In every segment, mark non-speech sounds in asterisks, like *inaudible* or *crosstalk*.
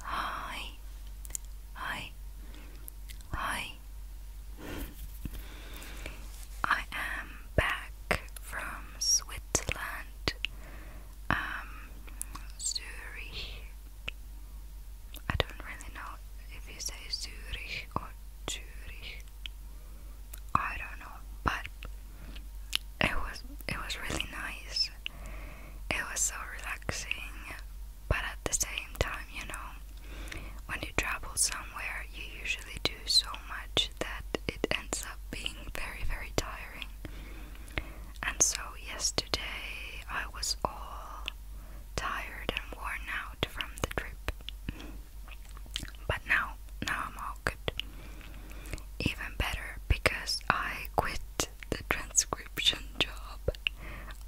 はいはいはい I am back from Switzerland um Zurich I don't really know if you say Zurich or I don't know, but it was it was really nice. It was so relaxing, but at the same time, you know, when you travel somewhere, you usually do so much that it ends up being very very tiring. And so yesterday I was all tired and worn out from the trip. But now, now I'm all good. Even better because I quit the transcription job.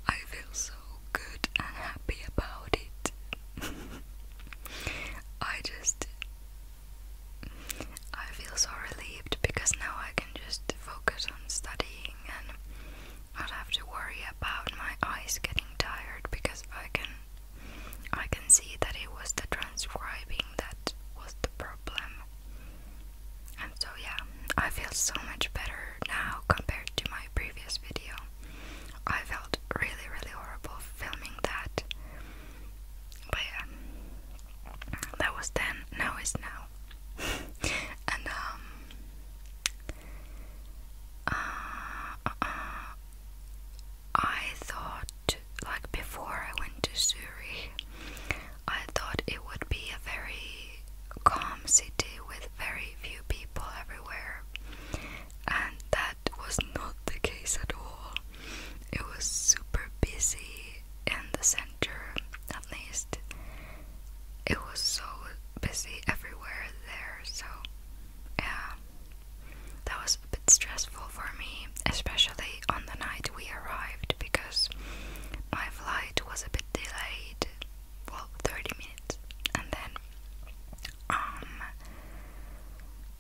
I feel so good and happy about it. *laughs* I just. I feel so relieved because now I can just focus on studying and not have to worry about my eyes getting tired because I can I can see that it was the transcribing that was the problem. And so, yeah, I feel so much better now compared to my previous video. I felt really, really horrible filming that. But yeah, that was then, now is now. *laughs* and, um, uh, uh, uh, I thought, like before I went to Zurich, I thought it would be a very calm city with very few people everywhere, and that was not the case at all. It was super busy in the center, at least. It was so busy everywhere there, so yeah, that was a bit stressful for me, especially on the night we arrived because my flight was a bit delayed, well, 30 minutes, and then um,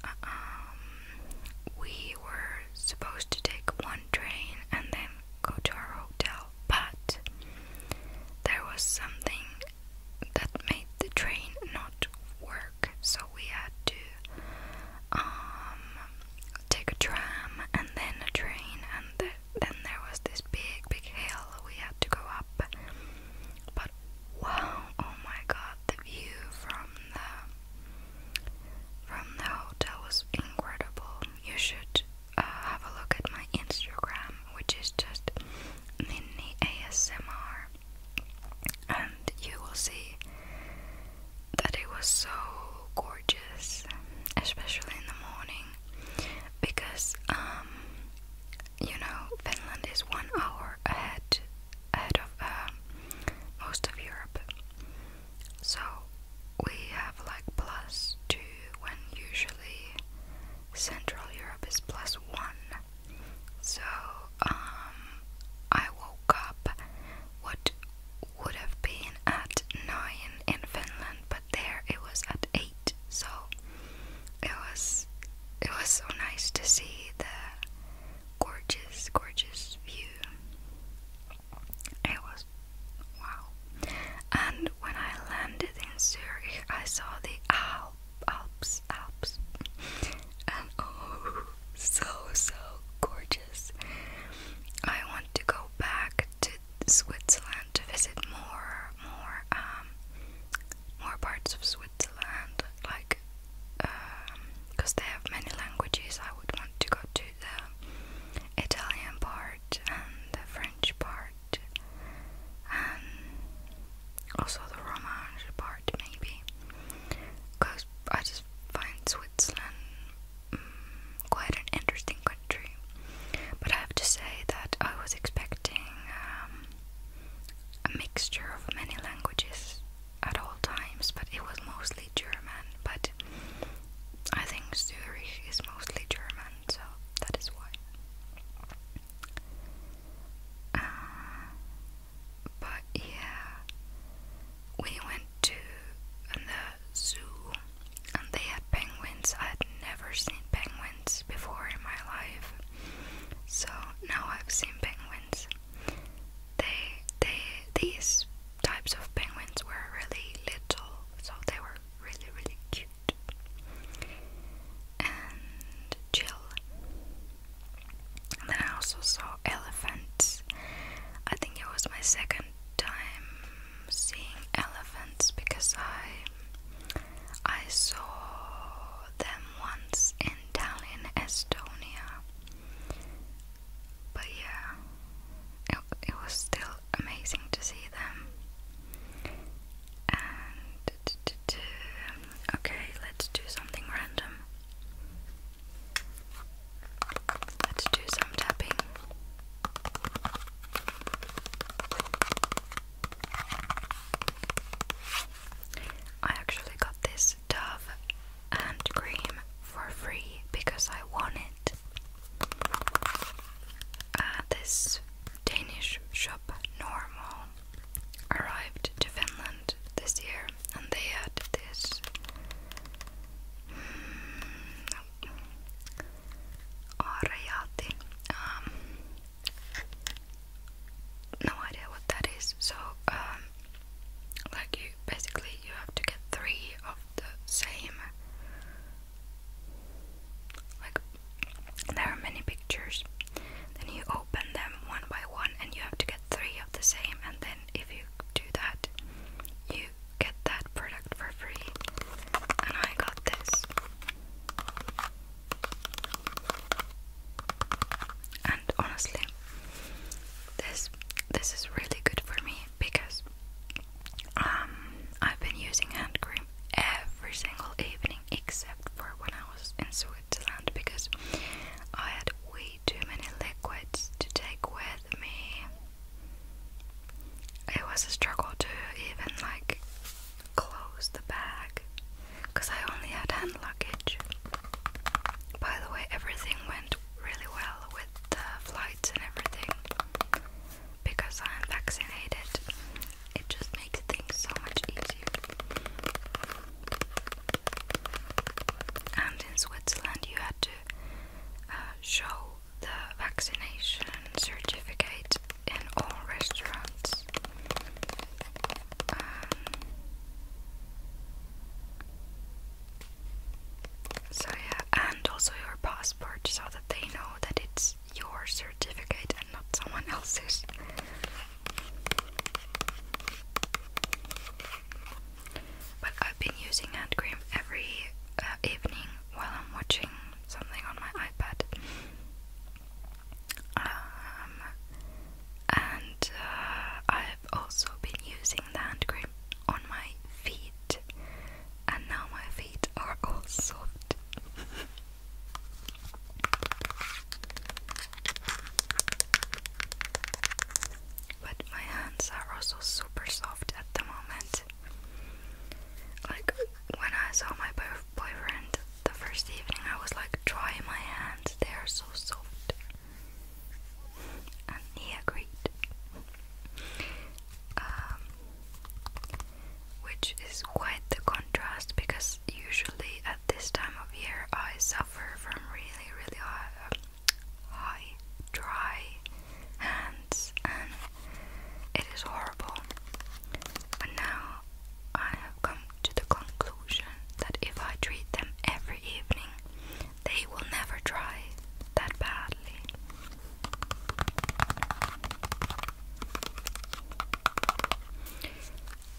um, we were supposed to take one train and then go to our hotel, but there was something that made the train not work, so we had to um, take a tram and then a train, and then there was this big, big hill we had to go up. But wow, oh my god, the view from the from the hotel was incredible. You should uh, have a look at my Instagram, which is just Ninny ASMR and you will see that it was so gorgeous, especially in the morning, because um, you know Finland is one hour ahead ahead of uh, most of Europe, so we have like plus two when usually Central Europe is plus one. So, um, I woke up what would have been at 9 in Finland, but there it was at 8. So, it was it was so nice to see the gorgeous gorgeous view. It was wow. And when I landed in Zurich, I saw the Alps Alps, Alps, and *laughs* oh, so so gorgeous. I want to go back to Switzerland to visit more, more, um, more parts of Switzerland, like, because um, they have many languages. I would want to go to the Italian part and the French part. And um, also the Romance part maybe, because I just find Switzerland mm, quite an interesting country. But I have to say that I was expecting um, a mixture of many languages at all times, but it was mostly German. But I think Zurich is mostly German, so that is why. Uh, but yeah, we went to the zoo and they had penguins. I had never seen penguins before in my life, so now I've seen penguins. They, they, these types of penguins were really little, so they were really, really cute and chill. then I also saw elephants. I think it was my second time seeing elephants because I I saw them once in Tallinn, Estonia. But yeah, it, it was still amazing to see them. And Okay, let's do something random. Let's do some tapping. I actually got this Dove hand cream for free because I won it at this Danish shop normal arrived to Finland this year and they had this hmm, um, no idea what that is. So um, like you basically you have to get three of the same like there are many pictures. Then you open them one by one, and you have to get three of the same. And then, if you do that, you get that product for free. And I got this. And honestly, this this is really good for me because um, I've been using hand cream every single evening except for when I was in Switzerland because I had way too many liquids to take with me. It was a struggle to even like close the bag because I only had hand luggage. By the way, everything went really well with the flights and everything because I'm vaccinated it just makes things so much easier. And in Switzerland, you had to uh, show the vaccination certificate in all restaurants. Um, so yeah, and also your passport so that they know that it's your certificate and not someone else's. But I've been using hand cream every uh, evening while I'm watching something on my iPad. Um, and uh, I've also been using the hand cream on my feet, and now my feet are all soft. *laughs* But my hands are also super soft at the moment. Like when I saw my boyfriend the first evening, I was like, try my hands, they are so soft. And he agreed. Um, which is quite the contrast because usually at this time of year I suffer from really, really high, dry hands and it is horrible. But now I have come to the conclusion that if I treat them every evening, they will never dry that badly.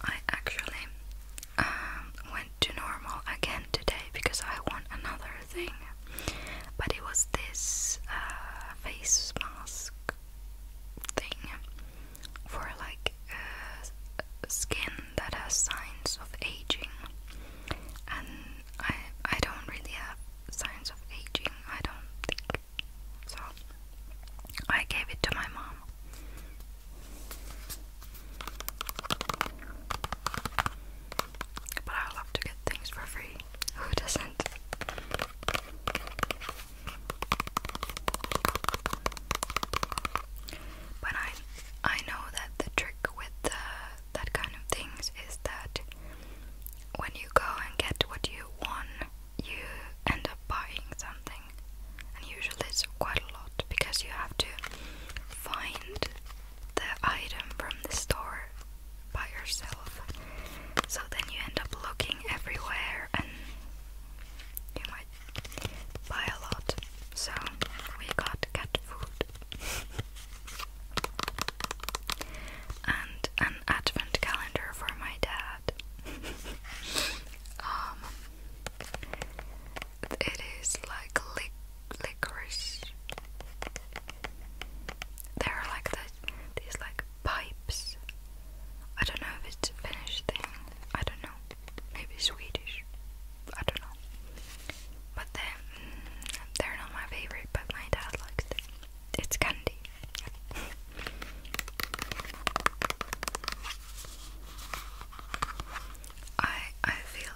I actually um, went to normal again today because I want another thing, but it was this uh, face mask thing for like uh, skin that has signs of aging, and I I don't really have signs of aging. I don't think so I gave it to my mom. But I love to get things for free. Who doesn't? But I I know that the trick with the, that kind of things is that when you go and get what you won you end up buying something, and usually it's quite a lot because you have to find the item from the store by yourself. So then you end up looking everywhere, and you might buy a lot. So we got cat food *laughs* and an advent calendar for my dad um, it is like lic licorice. There are like the, these like pipes. I don't know if it's Finnish thing. I don't know. Maybe Swedish. I don't know. But they mm, they're not my favorite, but my dad likes them. It's candy. I I feel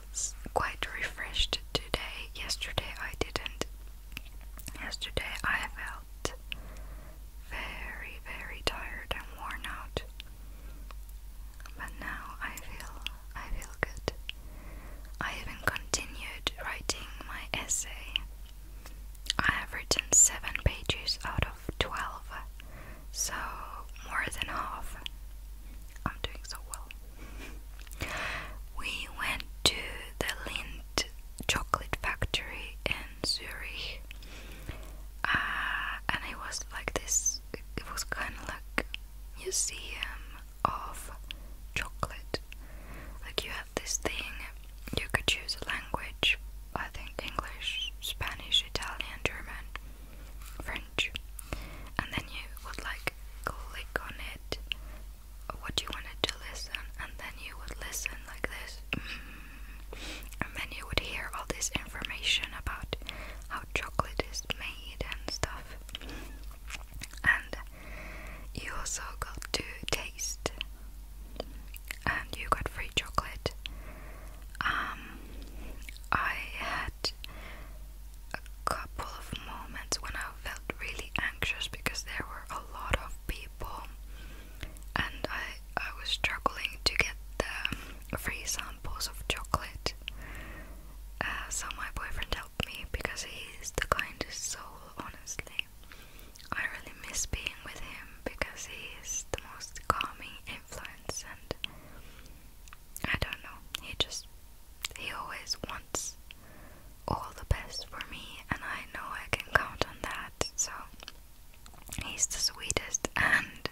quite refreshed today. Yesterday I didn't. Yesterday I felt very very tired and worn out. But now I feel I feel good. I even continued writing my essay I have written 7 pages out of 12, so more than half. I'm doing so well. We went to the Lind chocolate factory in Zurich, uh, and it was like this it was kind of like museum of chocolate. Like you this thing you could choose a language I think English, Spanish, Italian, German, French, and then you would like click on it what you wanted to listen, and then you would listen like this, mm. and then you would hear all this information about how chocolate is made and stuff. And you also got to taste and you got free chocolate. Um, I had a couple of moments when I felt really anxious because there were a lot of people and I, I was struggling to get the free samples of chocolate. Uh, so my boyfriend helped me because he's the kindest soul, honestly. I really miss being with him because he is the most calming influence, and I don't know, he just he always wants all the best for me, and I know I can count on that, so he's the sweetest. And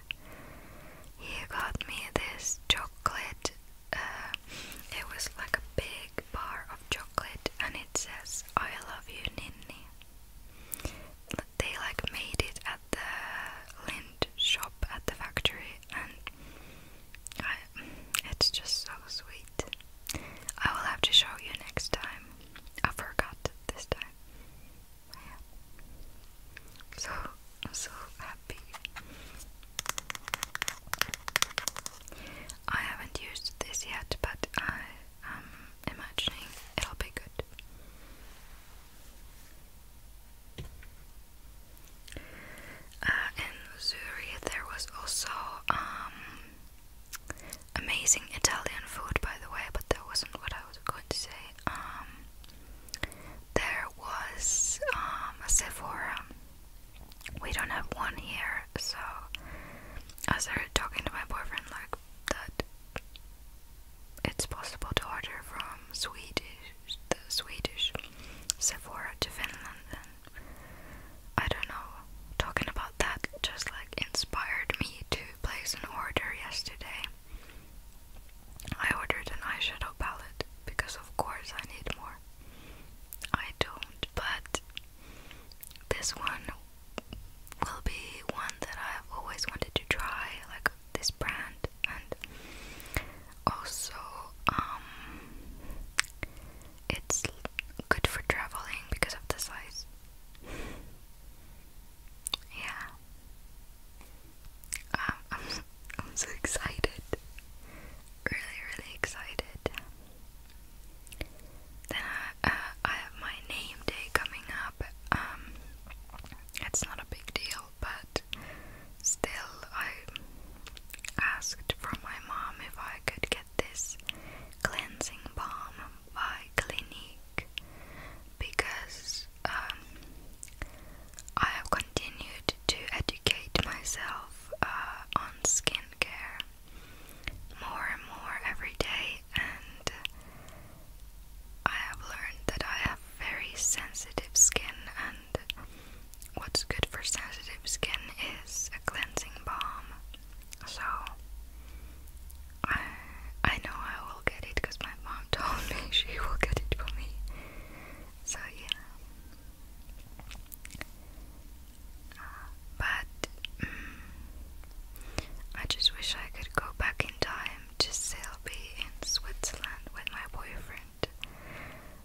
he got me this chocolate, uh, it was like a big bar of chocolate and it says I love you Ninny. They like made it at the Lind shop at the factory and it's just so sweet. I will have to show you next time. I forgot this time. So so happy. I haven't used this yet, but I am imagining it'll be good. Uh, in Zurich, there was also um, amazing Italian food, by the way, but that wasn't what I was going to say. Um, there was um, a Sephora we don't have one here, so I started talking to my boyfriend like that it's possible to order from Swedish the Swedish Sephora to Finland Then I don't know talking about that just like inspired me to place an order yesterday. I ordered an eyeshadow palette because of course I need more. I don't, but this one will be one that I've always wanted to try, like this brand, and also, um, it's good for traveling because of the size. Yeah. Um, *laughs* I'm so excited really, really excited. Then uh, uh, I, have my name day coming up. Um, it's not a big deal, but still, I asked from my mom if I could get this cleansing balm by Clinique because um, I have continued to educate myself uh, on skincare more and more every day, and I have learned that I have very sensitive skin, and what's good for sensitive skin is a cleansing balm. So I I know I will get it because my mom *laughs* told me she will get it for me. So yeah. But mm, I just wish I could go back in time to still in Switzerland with my boyfriend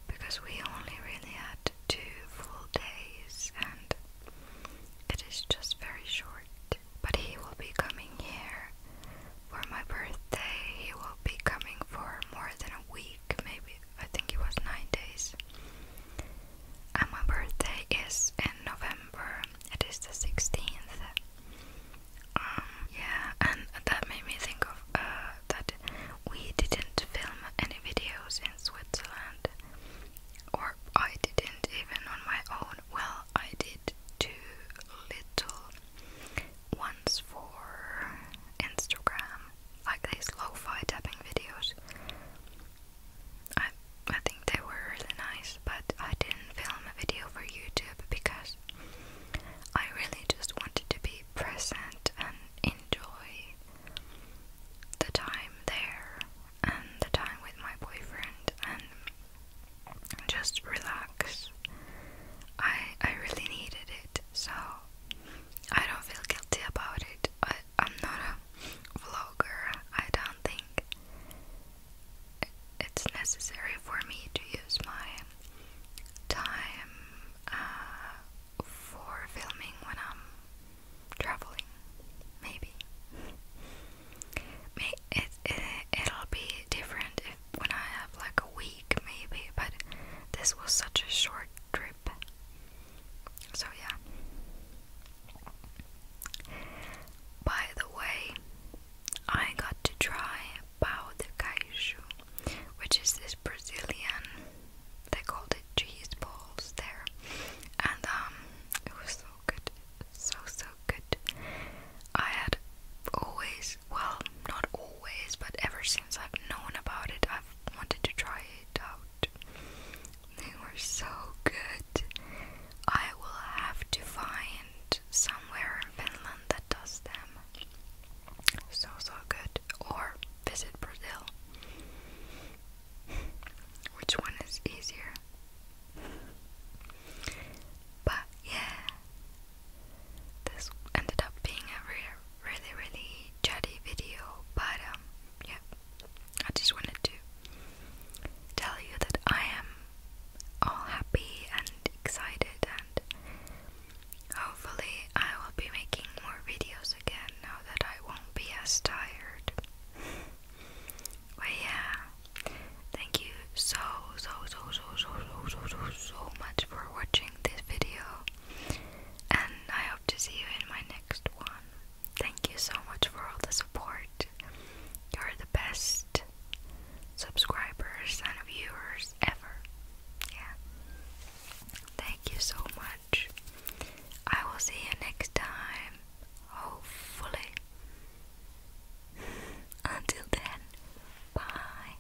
because we only really had two full days and it is just very short. But he will be coming here for my birthday. He will be coming for more than a week, maybe I think it was nine days. And my birthday is in November. It is the sixteenth. Um, yeah, and that made me think of uh, that we didn't film any videos in Switzerland, or I didn't even on my own. Well, I did too little once for Instagram, like these lo-fi tapping videos. I I think they were really nice, but I didn't film a video for YouTube because I really just wanted to be present and enjoy the time there and the time with my boyfriend and just relax. I I really needed it, so I don't feel guilty about it. I I'm not a vlogger. I don't think it's necessary for me to use my time uh, for filming when I'm traveling. Maybe it, it it'll be different if, when I have like a week, maybe. But this was such a short trip. So, yeah. By the way, I got to try pau de queijo, which is this Brazilian, they called it cheese balls there. And um, it was so good, so so good. I had always, well, not always, but ever since I've known about it, I've wanted to try it out. They were so good. I will have to find somewhere in Finland that does them. So, so good. Or visit Brazil. Which one is easier? But yeah, this ended up being a rare really really chatty video but um, yeah I just wanted to tell you that I am all happy and excited and hopefully I will be making more videos again now that I won't be as tired but yeah thank you so so so so so so so so much for watching this video and I hope to see you in my next one. Thank you so much for all the support. You're the best subscribers and viewers ever. Yeah. Thank you so much. I will see you next time. Hopefully. *laughs* Until then, bye.